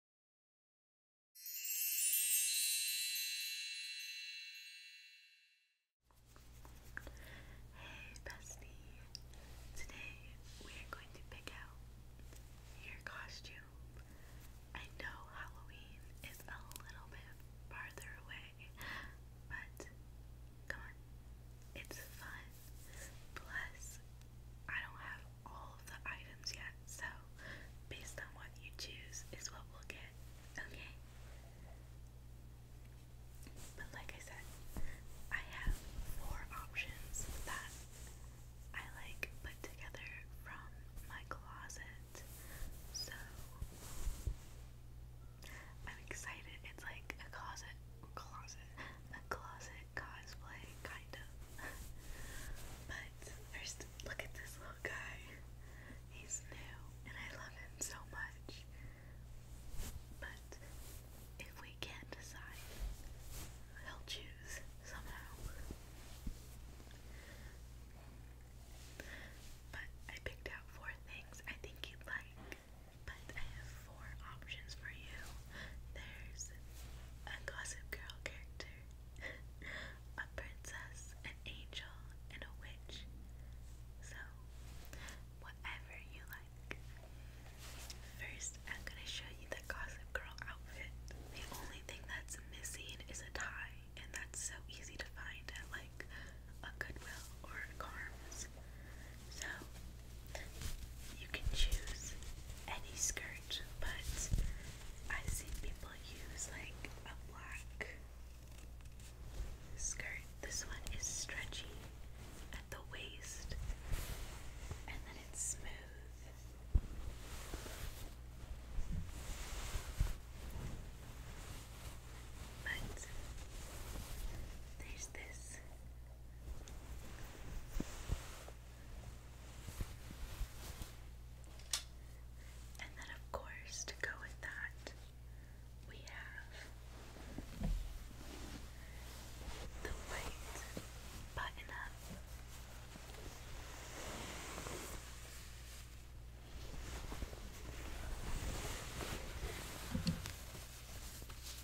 Hey bestie! Today we are going to pick out your costume. I know Halloween is a little bit farther away, but come on, it's fun. Plus, I don't have all the items yet, so based on what you choose is what we'll get, okay? But like I said, I have four options that I like put together from my closet, so I'm excited. It's like a closet, closet, a closet cosplay, kind of. but first, look at this little guy. He's new, and I love him so much. But if we can't decide, he'll choose somehow. But I picked out four things I think you'd like. But I have four options for you. There's a Gossip Girl character, a princess, an angel, and a witch. So, whatever you like. First, I'm gonna show you the Gossip Girl outfit. The only thing that's missing is a tie, and that's so easy to find at like a Goodwill or a Carms. So, you can choose any skirt, but I've people use like a black skirt. This one is stretchy at the waist and then it's smooth. But there's this and then, of course, to go with that, we have the white button up.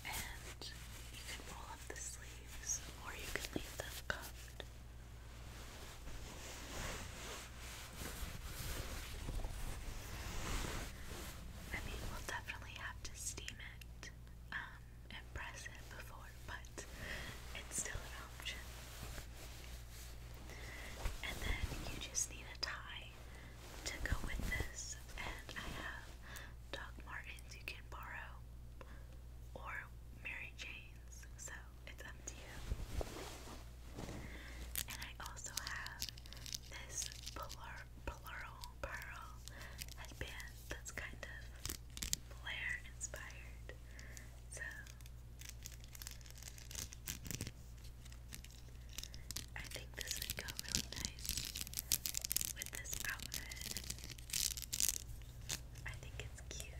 And you can roll up the sleeves or you can leave them cuffed. I mean, we'll definitely have to steam it um, and press it before, but it's still an option. And then you just need a tie to go with this, and I have Doc Martens you can borrow or Mary Jane's, so it's up you. And I also have this plural pearl headband that's kind of Blair inspired. So I think this would go really nice with this outfit. I think it's cute.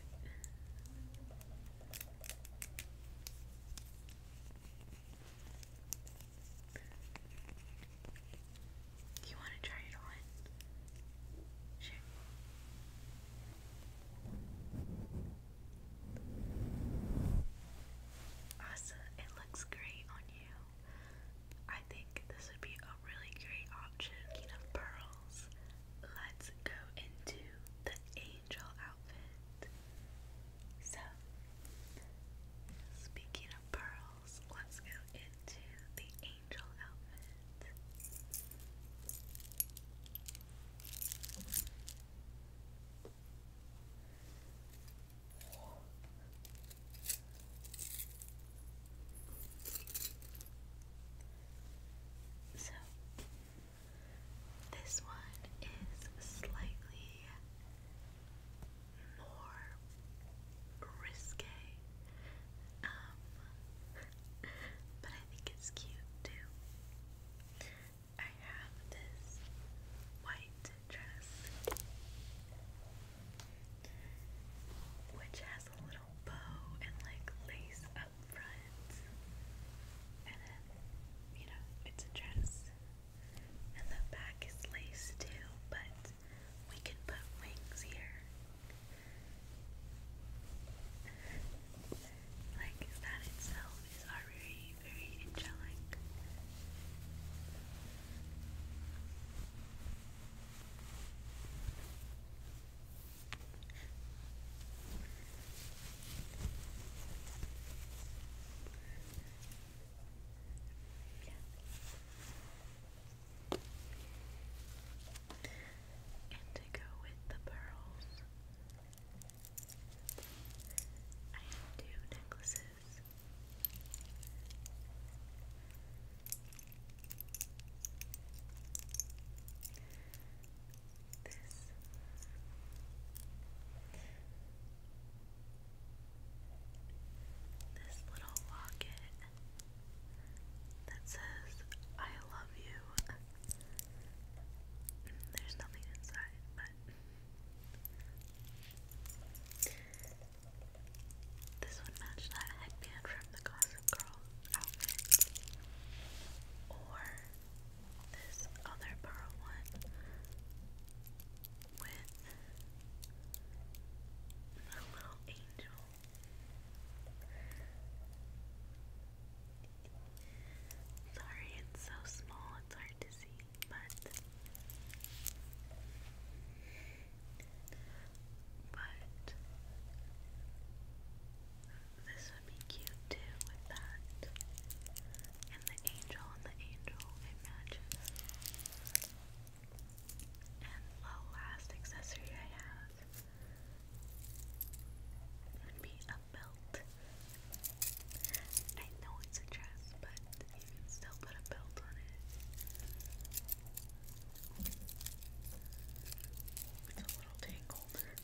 Do you want to try it on? Sure. Awesome, it looks great on you. I think this would be a really great option. You know, pearls, let's go into the angel outfit. So, speaking of pearls, let's go into the angel outfit. So, this one is slightly more risque, um, but I think it's cute too. I have this white dress. Which has a little bow and like lace up up front, and then you know it's a dress, and the back is lace too. But we can put wings here. Like that itself is already very angelic. And to go with the pearls, I have two necklaces this. little locket that says, I love you. There's nothing inside, but this would match that headband from the Gossip Girl outfit, or this other pearl one with the little angel. Sorry, it's so small, it's hard to see, but. But this would be cute too with that. And the angel and the angel, it And the last accessory I have would be a belt. I know it's a dress, but you can still put a belt on it. It's a little tangled.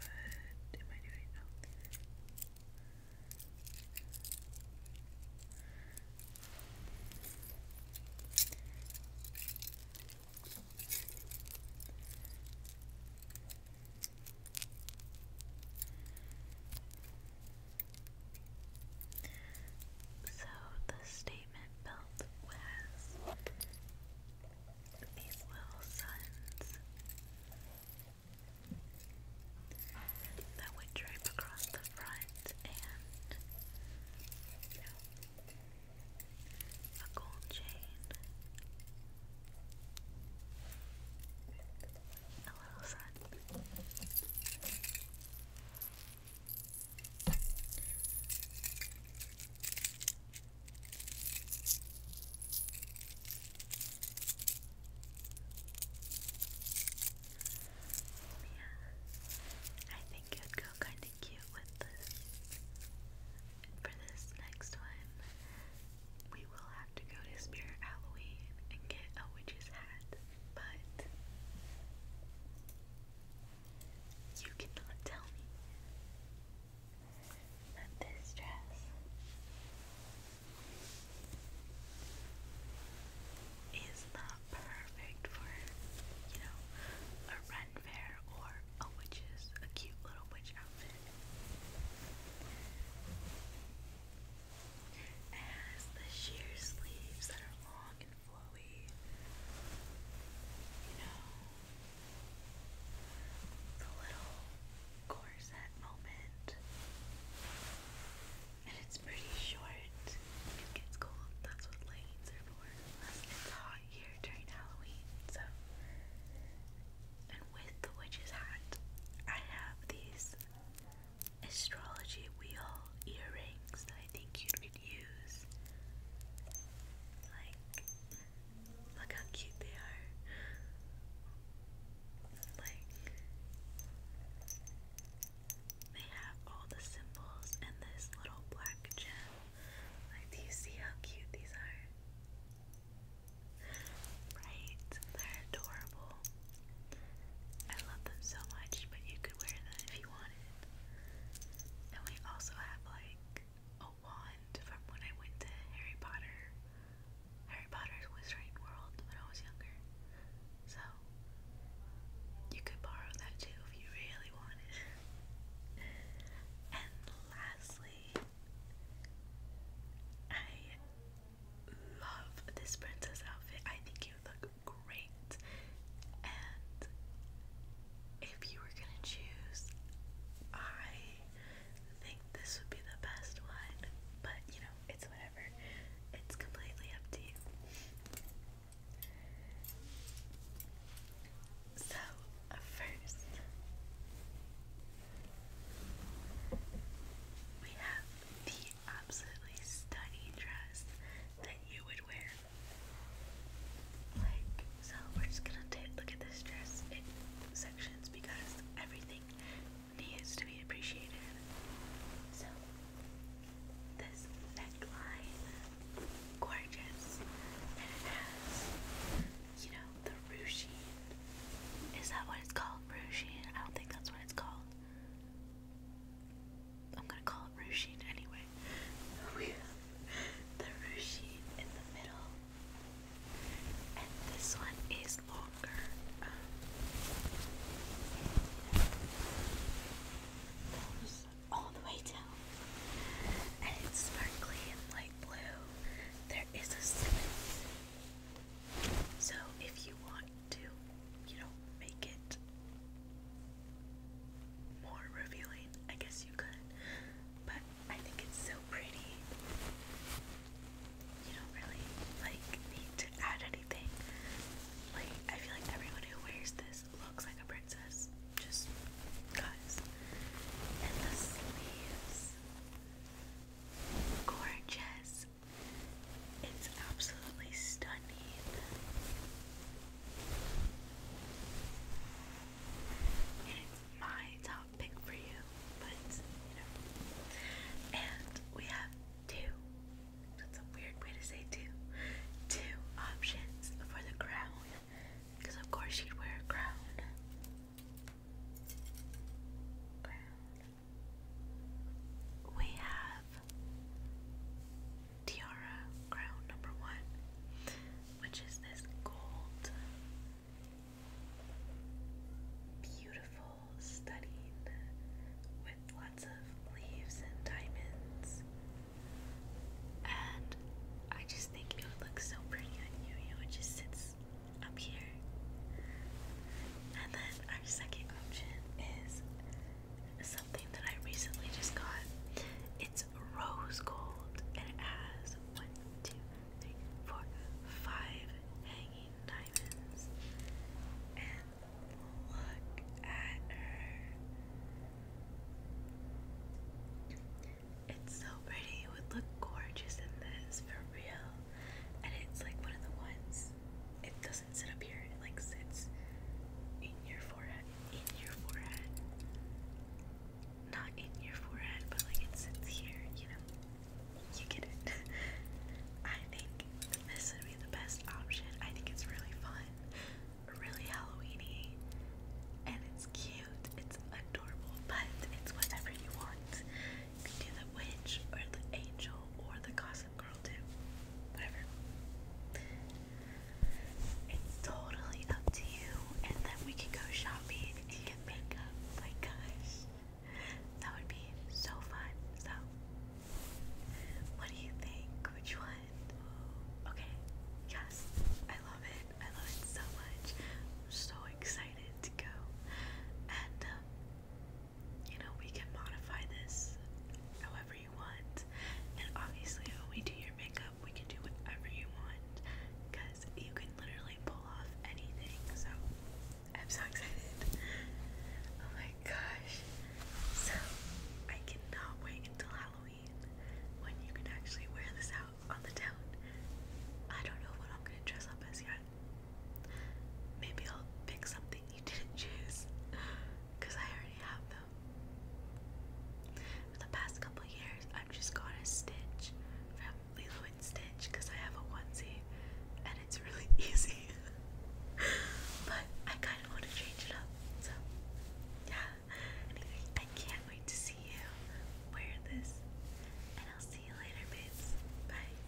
What am I doing? Oh. So the statement belt was these little suns that would drape across the front and you a gold chain. Yeah, I think it would go kind of cute with this. For this next one, we will have to go to Spirit Halloween and get a witch's hat, but you cannot tell me that this dress is not perfect for, you know, a run fair or a witch's, a cute little witch outfit. It the sheer sleeves that are long and flowy. You know, the little corset moment. And it's pretty short. It gets cold. That's what leggings are for. Unless it's hot here during Halloween. So, and with the witch's hat, I have these astrology wheel earrings that I think you could use. Like, look how cute they are. Like, they have all the symbols and this little black gem. Like, do you see how cute these are? Right? They're adorable. I love them so much, but you could wear them if you wanted. And we also have like a wand from when I went to Harry Potter, Harry Potter's Wizarding World when I was younger. So you could borrow that too if you really wanted. and lastly, I love this princess outfit. I think you look great. And if you were gonna choose, I think this would be the best one. But you know, it's whatever. It's completely up to you. So, first, we have the absolutely stunning dress that you would wear. Like, so we're just gonna take look at this dress in sections because everything needs to be appreciated. So this neckline, gorgeous, and it has, you know, the ruching. Is that what it's called? called I don't think that's what it's called. I'm gonna call it Ruchine anyway. We have in the middle, and this one is longer. Goes all the way down, and it's sparkly and light blue. There is a slit, so if you want to, you know, make it more revealing. I guess you could, but I think it's so pretty. You don't really like need to add anything. Like, I feel like everyone who wears this looks like a princess, just guys. And the sleeves, gorgeous it's absolutely stunning. it's my top pick for you, but you know. And we have two. That's a weird way to say two. Two options for the crown. Because of course she'd wear a crown. Crown we have Tiara Crown number one, which is this gold, beautiful studding with lots of leaves and diamonds. And I just think it would look so pretty on you. You know, it just sits up here. And then our second option is something that I recently just got. It's rose gold and it has one, two, three, four, five hanging diamonds. And look at her. It's so pretty. It would look gorgeous in this, for real and it's like one of the ones. It doesn't sit up here. It like sits in your forehead. In your forehead. Not in your forehead, but like it sits here. You know. You get it. I think this would be the best option. I think it's really fun, really Halloweeny, and it's cute. It's adorable, but it's whatever you want. You can do the witch or the angel or the costume girl too. Whatever. It's totally up to you, and then we can go shopping and get makeup. My gosh, that would be so fun. So, what do you think? Which one? Okay, yes, I love it. I love it so much. am so excited to go, and um, you know, we can modify this however you want. And obviously, when we do your makeup, we can do whatever you want because you can literally pull off anything. So, I'm so excited. Oh my gosh. So, I cannot wait until Halloween when you can actually wear this out on the town. I don't know what I'm gonna dress up as yet. Maybe I'll pick something you didn't choose I already have them. the past couple years, I've just got a Stitch from Lilo and Stitch because I have a onesie and it's really easy. but I kind of want to change it up, so yeah. I can't wait to see you wear this, and I'll see you later, babes. Bye.